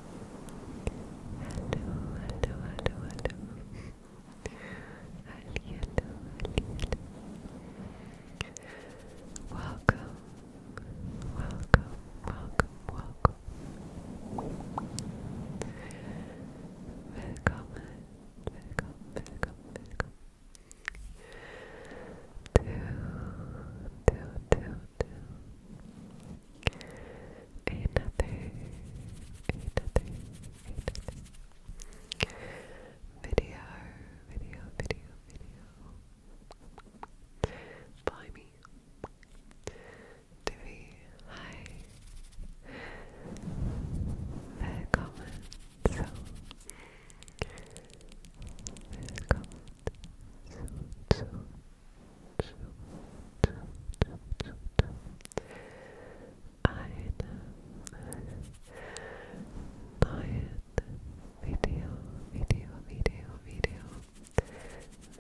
hello, hello, hello, hello. hello, hello, hello. Welcome, welcome, welcome, welcome. Willkommen, willkommen, willkommen, willkommen. To, to, down. Another, another, another video, video, video, video. By me. Divi, hi. Välkommen zu. Willkommen zu, neuen Video, Video, Video, Video,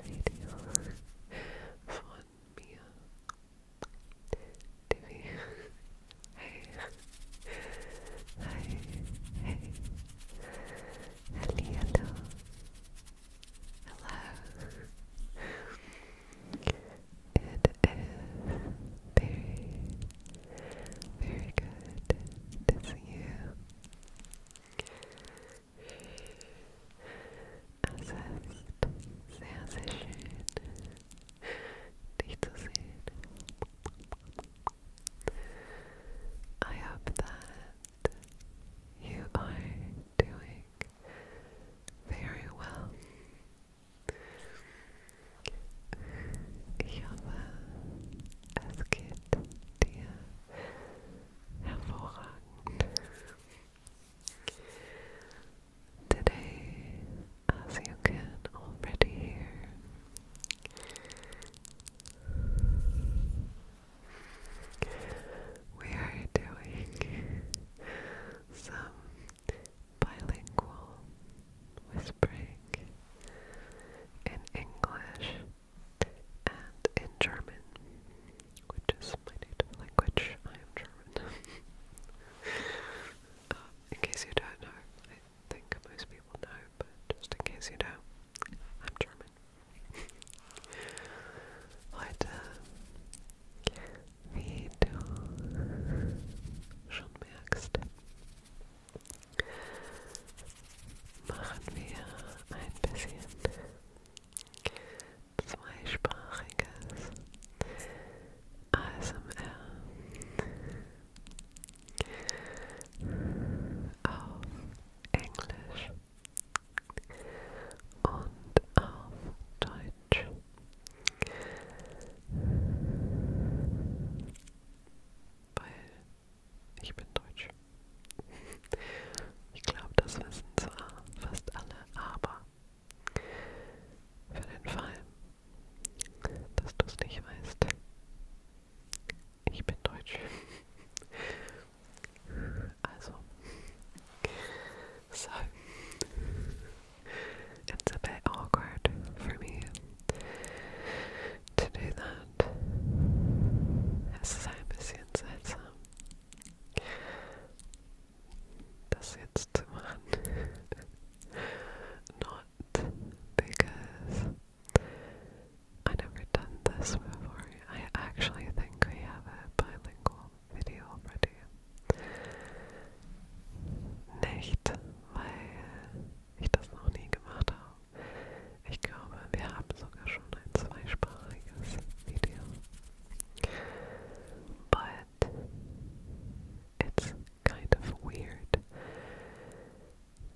Video von mir. Divi. Hey. Hey. Halli, Hello. It is very, very good to see you. Assessed, sehr, sehr schön, dich zu sehen. I hope that you are doing very well. Ich es geht dir hervorragend. Today, as you can already hear, we are doing some bilingual whispering in English and in German, which is my native language. I am German. Uh, in case you don't know, I think most people know, but just in case you don't, I'm German. Heute, wie du schon merkst, machen wir ein bisschen zweisprachiges ASMR auf Englisch und auf Deutsch. Weil ich bin Deutsch. Ich glaube, das wissen zwar fast alle, aber für den Fall, dass du es nicht weißt, ich bin Deutsch. Also. So, it's a bit awkward for me to do that. Es ist ein bisschen seltsam, das jetzt zu machen. Not because I never done this before. I actually think we have a bilingual video already. Nicht, weil ich das noch nie gemacht habe. Ich glaube, wir haben sogar schon ein zweisprachiges Video. But it's kind of weird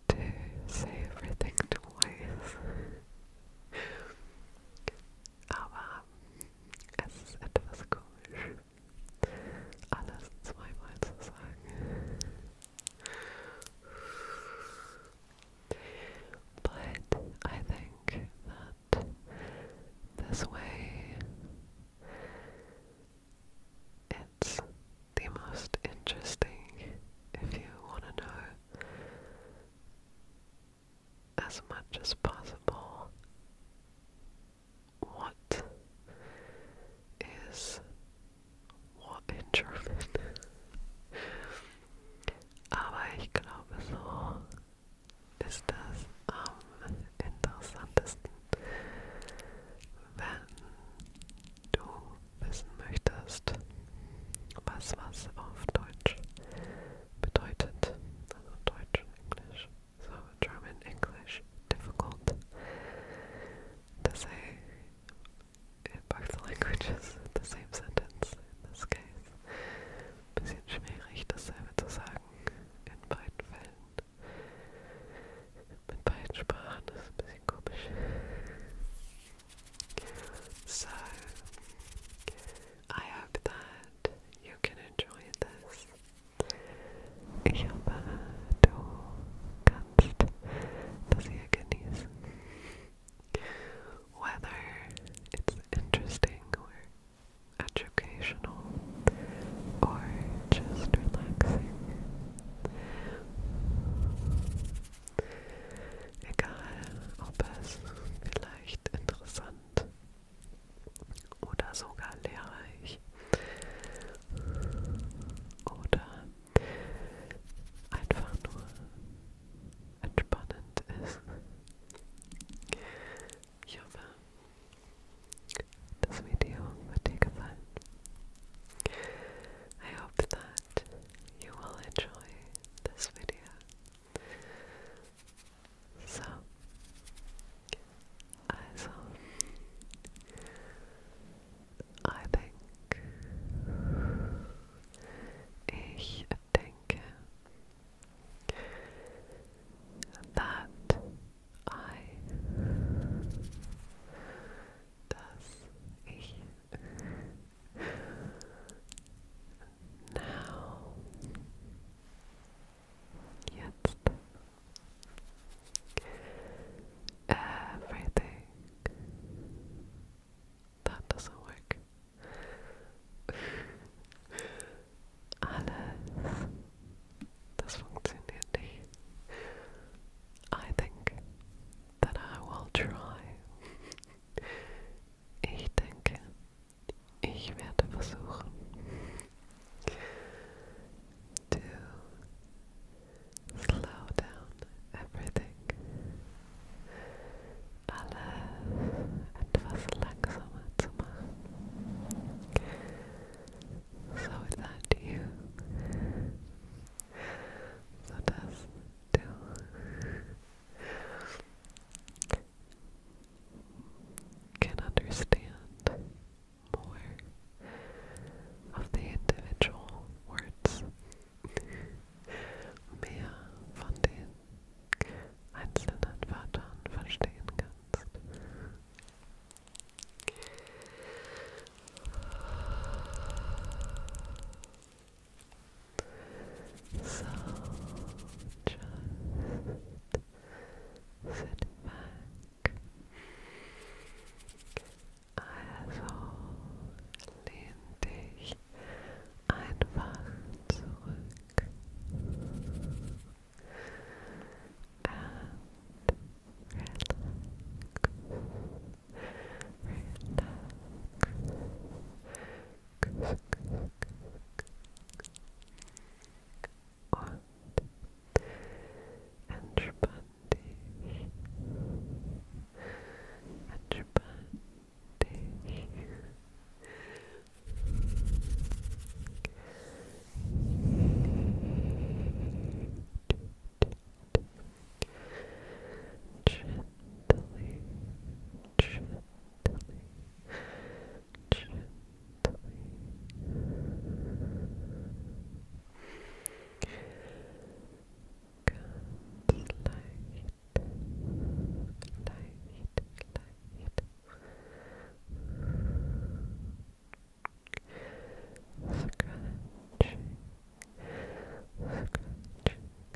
to say everything twice aber But I think that this way it's the most interesting if you want to know as much as possible what is what in German. Aber ich glaube, so ist das am interessantesten, wenn du wissen möchtest, was was auf Deutsch bedeutet. Also Deutsch, Englisch. So, German, English, difficult. To say in both languages the same sentence in this case. Bisschen schwierig, dasselbe zu sagen in beiden Fällen. Mit beiden Sprachen das ist ein bisschen komisch. So, I hope that you can enjoy this. Ich hoffe, du kannst das hier genießen. Whether it's interesting or educational or just relaxing. Egal, ob es vielleicht interessant oder sogar lehrreich oder einfach nur entspannend ist. Ich hoffe, das Video wird dir gefallen. I hope that you will enjoy this video. So, also, I think, ich denke that I, dass ich now, jetzt, everything that doesn't work. Alles, das funktioniert nicht. I think that I will try Ich denke, ich werde versuchen to slow down everything. Alles etwas langsamer zu machen. So that you so dass du can understand more of the individual words. Mehr von den einzelnen Wörtern verstehen kannst. So just sit back. Also lehn dich einfach zurück. And Relax und entspann dich, entspann dich. Gently, gently, gently, gently. Ganz leicht, leicht, leicht. Scratching, scratching,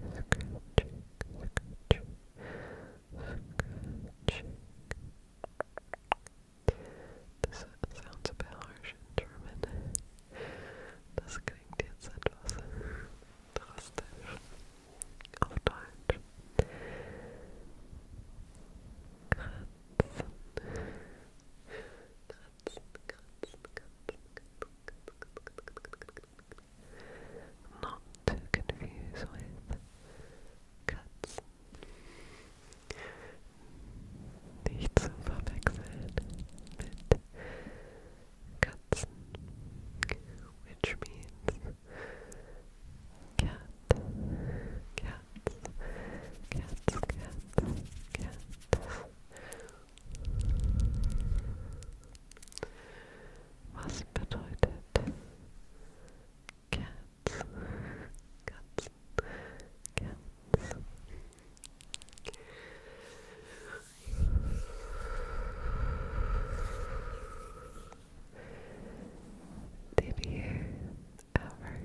scratching, scratching. Scratching. Das sounds a bit harsh in German. Das klingt jetzt etwas drastisch auf Deutsch. Kratzen. Kratzen, kratzen, kratzen, kratzen, kratzen, kratzen, not to confuse with cuts. Nicht zu verwechseln mit cuts, which means cat, cats, cats, cats, cats. Was bedeutet Cats? Cats. Cats. Did you ever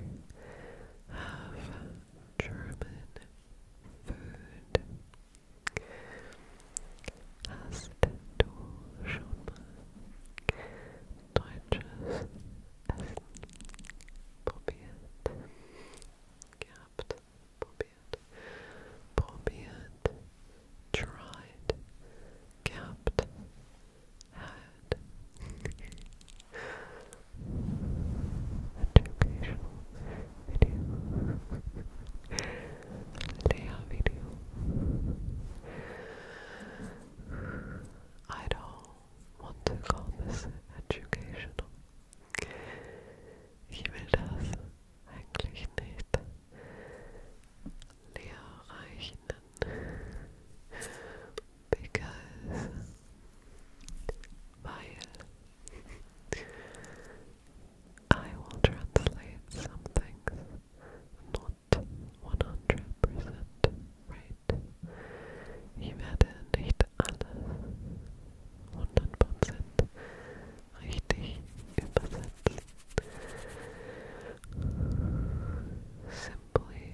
have German food? Hast du schon mal deutsches Essen probiert? Gehabt, probiert, tried, gehabt, had video. Leia I don't want to call this educational. Ich will das eigentlich nicht lehrreichen. Because weil I will translate some things not 100% right. Ich werde nicht alles 100 richtig übersetzen. Simply,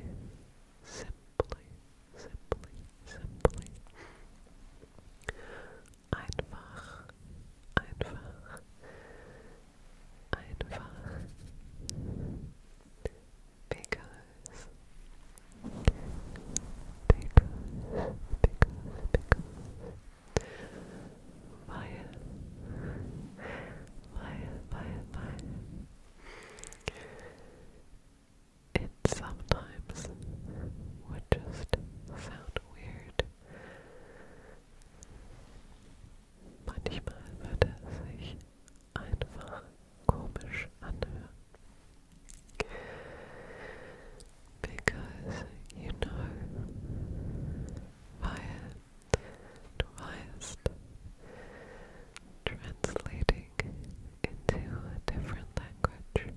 simply, simply, simply einfach, einfach, einfach. Because, because, because, because, weil, weil, weil, weil, it sometimes would just sound weird Manchmal wird es er sich einfach komisch anhören. Because you know, weil du weißt, translating into a different language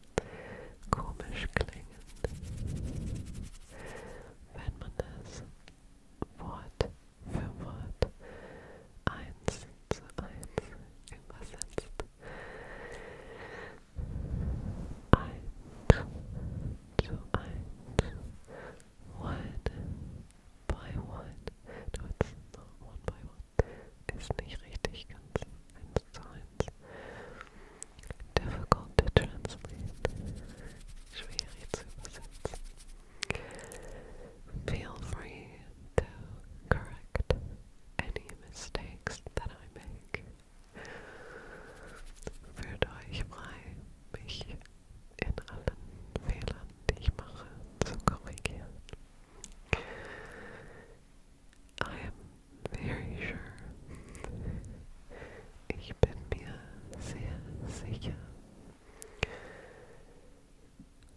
komisch klingen, wenn man es Wort für Wort eins zu eins übersetzt. Eins zu eins, one by one. No, it's not one by one. It's not really ganz eins zu Difficult to translate. Feel free to correct any mistakes that I make. Fühlt euch frei, mich in allen Fehlern, die ich I am very sure. Ich bin mir sehr sicher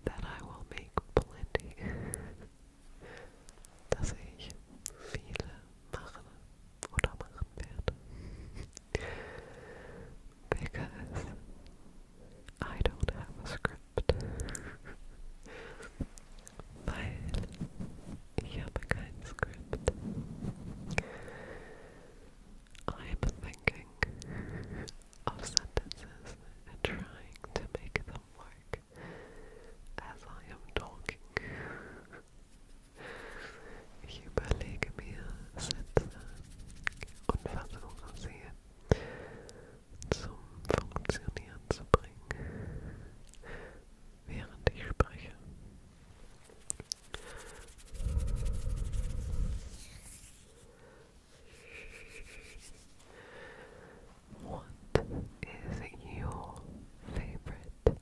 that I will make plenty. Dass ich viele mache oder machen werde. Because I don't have a script weil ich habe kein I'm thinking of sentences and trying to make them work as I am talking. Ich überlege mir Sätze und versuche sie zum Funktionieren zu bringen während ich spreche. What is your favorite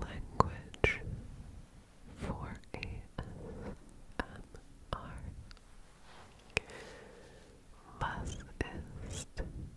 language for ASMR? Was ist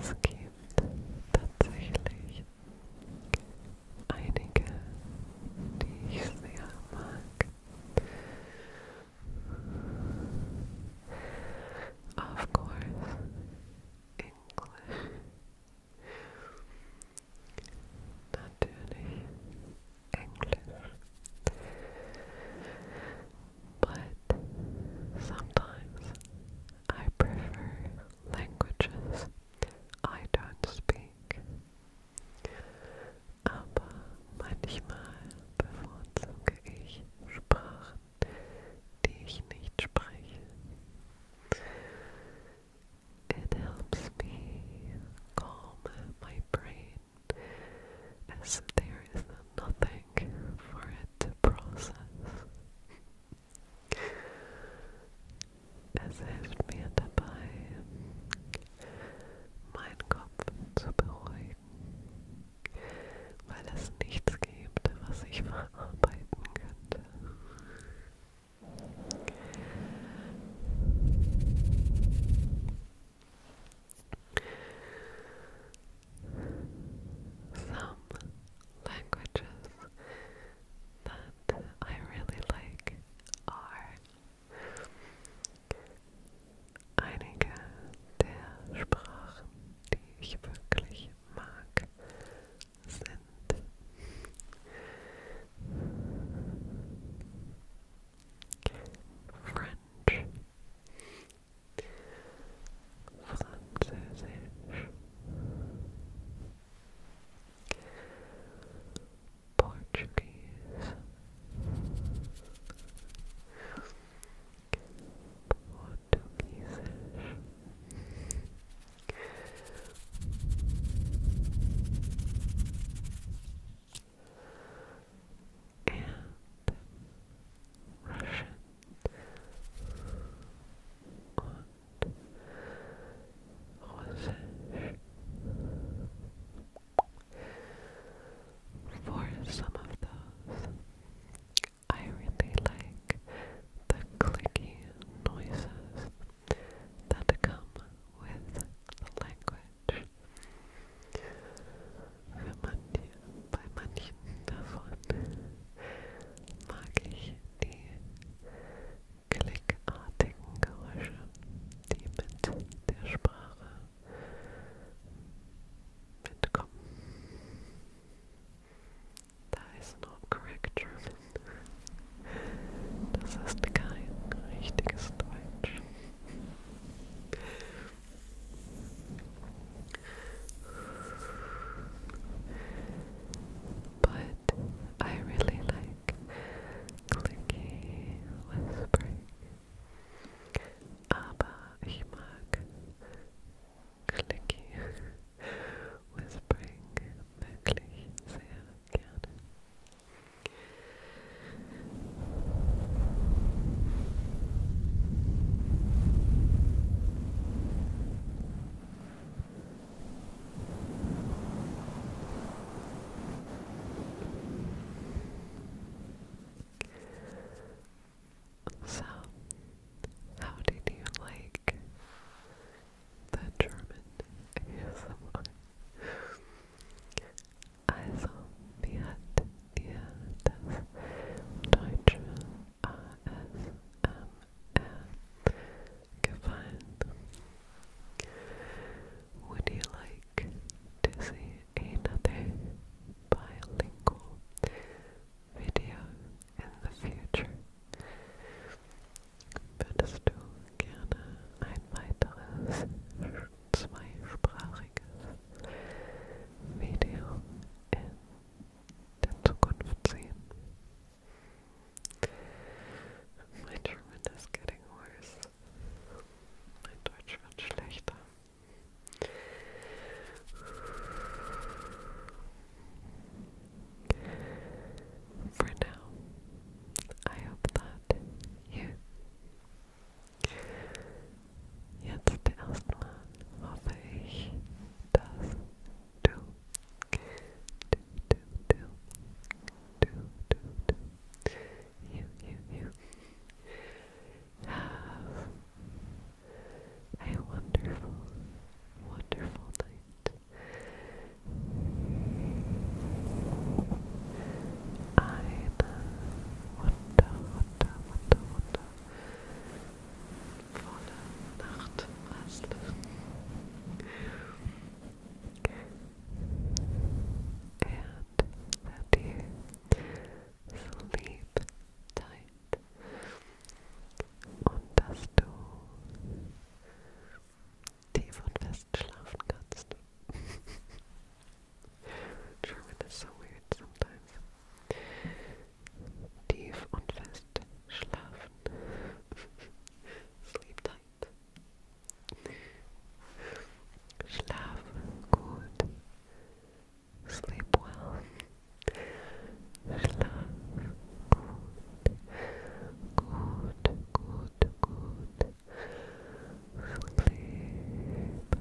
Es gibt tatsächlich einige, die sehr mag. Of course, English. Natürlich Englisch but sometimes I prefer languages I don't speak. Aber manchmal bevorzuge ich Sprachen, die ich nicht spreche. It helps me calm my brain as there is nothing like for it to process. Es hilft mir dabei, meinen Kopf zu beruhigen, weil es nichts gibt, was ich verarbeiten könnte. some languages that I really like are einige der Sprachen, die ich wirklich mag, sind French, Französisch Portuguese Portuguesisch and Russian und For some of those, I really like the clicky noises that come with the language. Für manche, bei manchen davon mag ich die klickartigen Geräusche, die mit der Sprache mitkommen. Da ist no correct German. Das ist kein richtiges Deutsch. But I really like clicky whispering. Aber ich mag clicky whispering wirklich sehr gerne. So, how did you like the German ASMR? Also, mir hat yeah, das deutsche ASMR gefallen. Would you like to see another bilingual video in the future? Würdest du gerne ein weiteres zweisprachiges Video in that's Zukunft sehen. My German is getting worse. Mein Deutsch wird schlechter. For now, I hope that you Jetzt erstmal hoffe ich, dass du, du, du, du, du, du, du, you, you, you, have a wonderful, wonderful night. Eine wunder, wunder, wunder, wunder, volle night hast. And that sleep tight und dass du tief und fest schlafen kannst. German is so weird sometimes. Tief und fest schlafen. Sleep tight. Schlaf gut. Sleep well. Schlaf gut. Gut, gut, gut.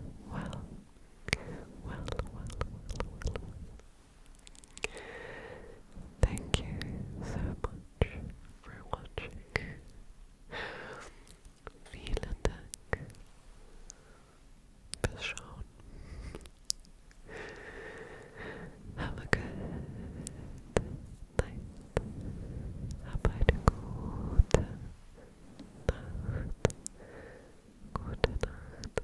Sleep Well, well, well, well. Thank you so much for watching. Vielen Dank fürs Have a good night. Hab eine gute Nacht. Gute Nacht.